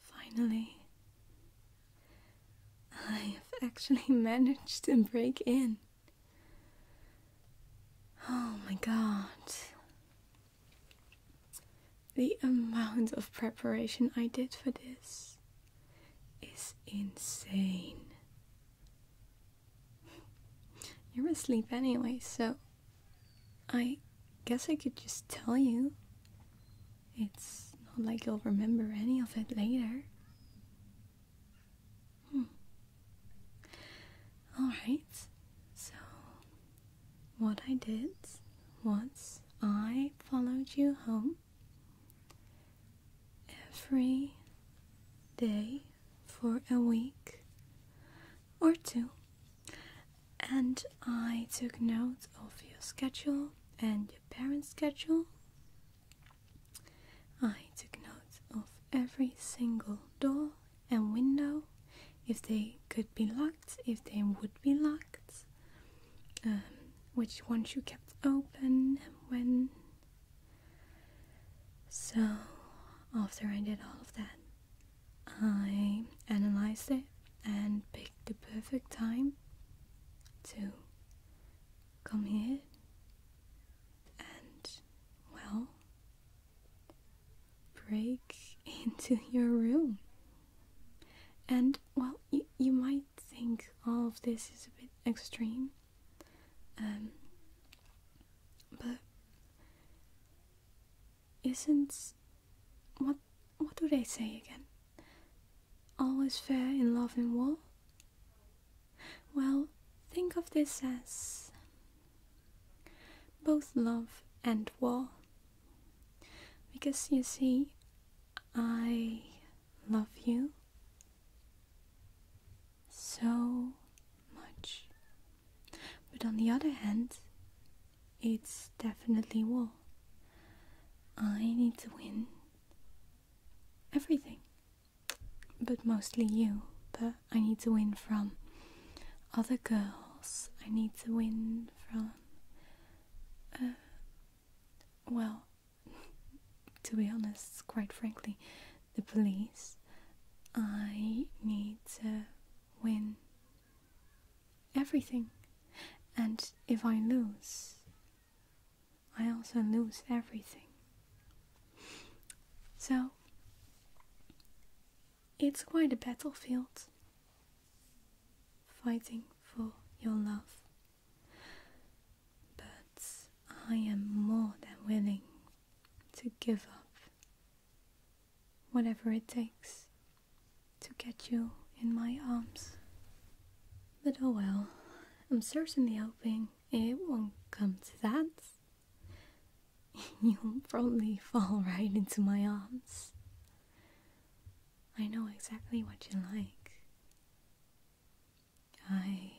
Finally, I have actually managed to break in. Oh my god. The amount of preparation I did for this is insane. You're asleep anyway, so I guess I could just tell you. It's not like you'll remember any of it later. Hmm. Alright, so what I did was I followed you home every day for a week or two and I took notes of your schedule and your parents' schedule. I took notes of every single door and window, if they could be locked, if they would be locked, um, which ones you kept open and when. So, after I did all of that, I analyzed it and picked the perfect time to come here and, well, break into your room. And, well, you, you might think all oh, of this is a bit extreme, um, but isn't what what do they say again? Always fair in love and war? Well, think of this as both love and war. Because you see, I love you so much. But on the other hand, it's definitely war. I need to win everything, but mostly you. But I need to win from other girls, I need to win from. Uh, well, to be honest, quite frankly, the police. I need to win everything. And if I lose, I also lose everything. So, it's quite a battlefield fighting for your love. But I am more than willing to give up whatever it takes to get you in my arms. But oh well, I'm certainly hoping it won't come to that. You'll probably fall right into my arms. I know exactly what you like. I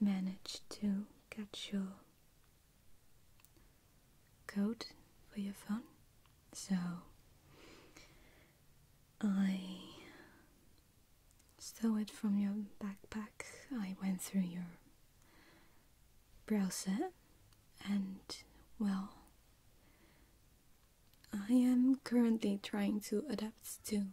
managed to catch you code for your phone. So I stole it from your backpack. I went through your browser and well I am currently trying to adapt to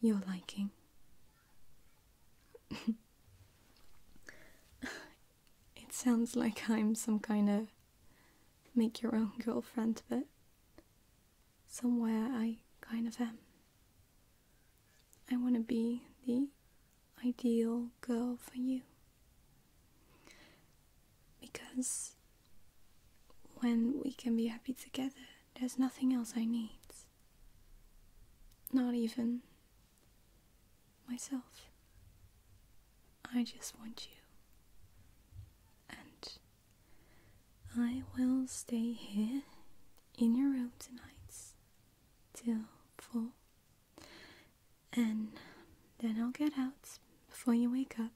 your liking. it sounds like I'm some kind of make your own girlfriend, but somewhere I kind of am. I want to be the ideal girl for you. Because when we can be happy together, there's nothing else I need. Not even myself. I just want you. And I will stay here in your room tonight till four, And then I'll get out before you wake up.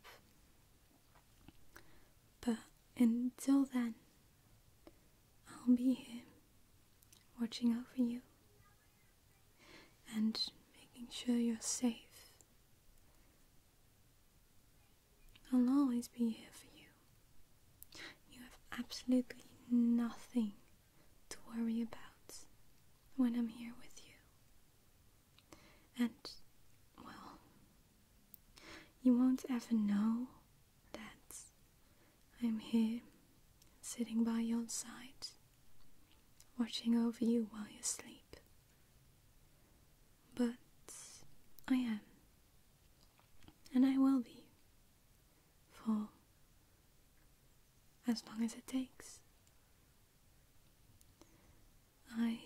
But until then, I'll be here watching over you and making sure you're safe. I'll always be here for you. You have absolutely nothing to worry about when I'm here with you. And, well, you won't ever know that I'm here sitting by your side, watching over you while you sleep. But I am, and I will be, for as long as it takes. I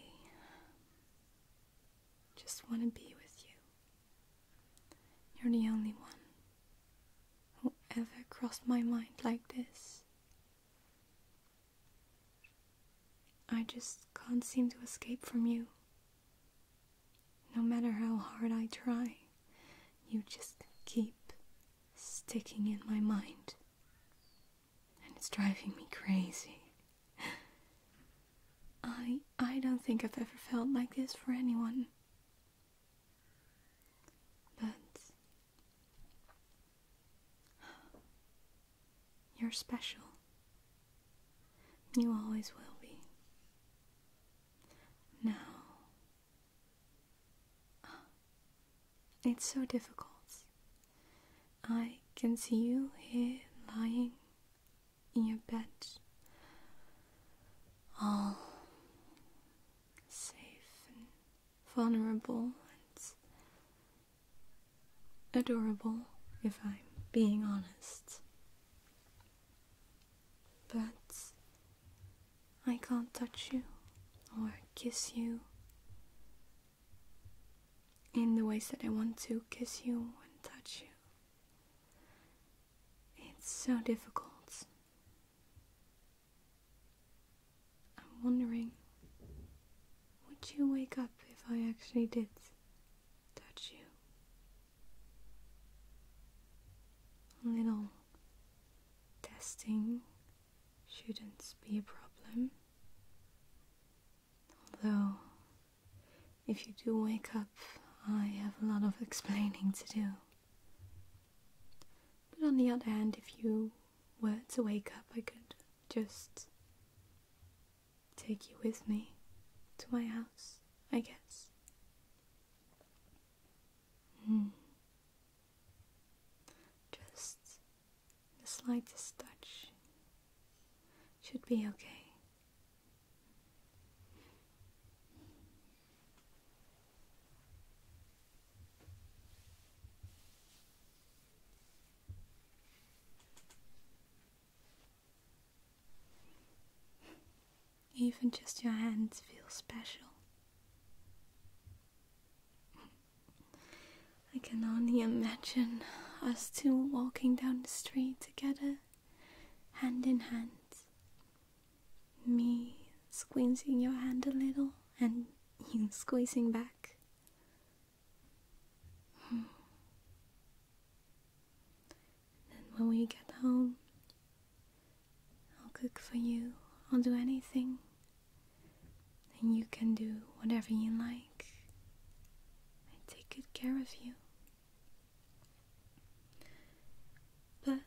just want to be with you. You're the only one who ever crossed my mind like this. I just can't seem to escape from you. No matter how hard I try, you just keep sticking in my mind. And it's driving me crazy. I I don't think I've ever felt like this for anyone. But you're special. You always will be. Now, it's so difficult. I can see you here lying in your bed, all safe and vulnerable and adorable, if I'm being honest. But I can't touch you or kiss you in the way that I want to kiss you and touch you. It's so difficult. I'm wondering would you wake up if I actually did touch you? A little testing shouldn't be a problem. Although if you do wake up, I have a lot of explaining to do. But on the other hand, if you were to wake up, I could just take you with me to my house, I guess. Hmm. Just the slightest touch should be okay. Even just your hands feel special. I can only imagine us two walking down the street together, hand in hand. Me squeezing your hand a little and you squeezing back. Hmm. Then when we get home, I'll cook for you, I'll do anything, and you can do whatever you like. I take good care of you. But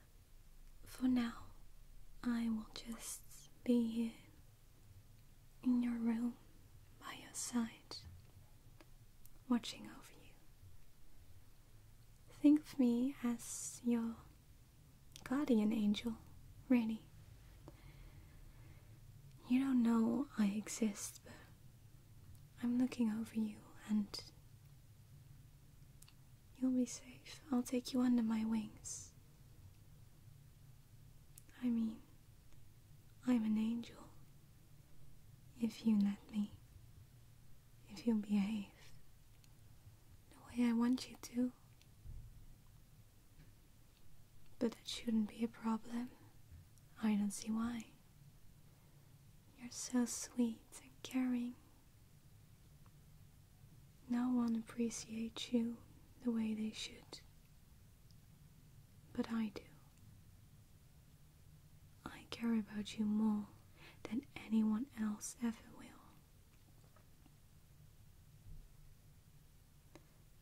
for now, I will just be here in your room by your side, watching over you. Think of me as your guardian angel, really. You don't know I exist, but I'm looking over you and you'll be safe. I'll take you under my wings. I mean, I'm an angel. If you let me, if you behave the way I want you to. But that shouldn't be a problem. I don't see why. You're so sweet and caring. No one appreciates you the way they should. But I do. I care about you more than anyone else ever will.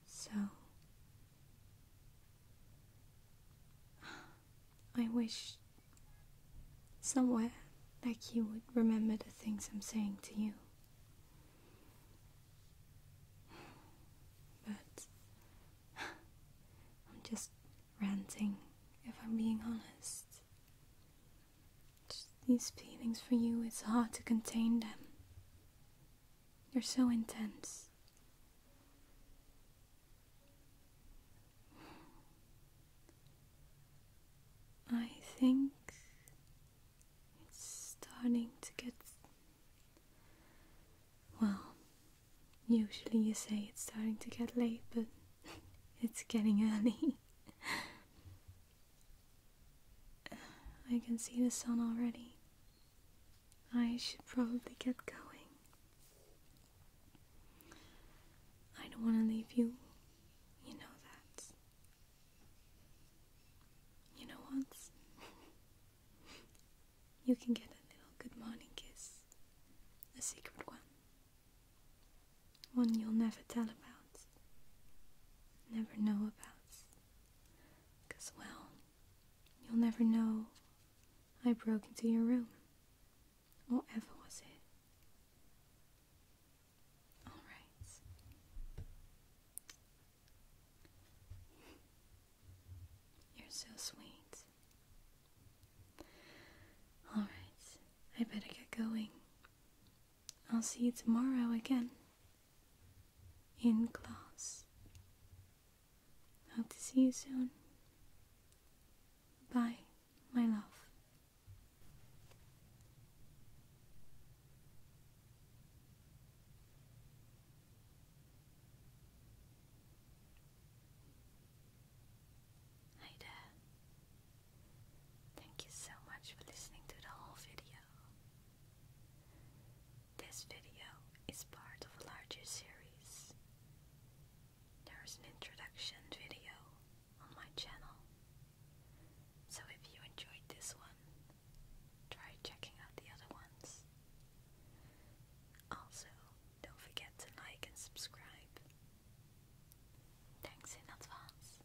So, I wish somewhere like you would remember the things I'm saying to you. But I'm just ranting, if I'm being honest. Just these feelings for you, it's hard to contain them. You're so intense. I think it's starting to get. Well, usually you say it's starting to get late, but it's getting early. I can see the sun already. I should probably get going. I don't want to leave you. You know that. You know what? you can get a little good morning kiss. A secret one. One you'll never tell about. Never know about. Because, well, You'll never know I broke into your room. Whatever was it? Alright. You're so sweet. Alright, I better get going. I'll see you tomorrow again in class. Hope to see you soon. Bye, my love. Hi there. Thank you so much for listening to the whole video. This video is part of a larger series. There is an introduction video on my channel, so if you enjoyed this one, try checking out the other ones. Also, don't forget to like and subscribe. Thanks in advance.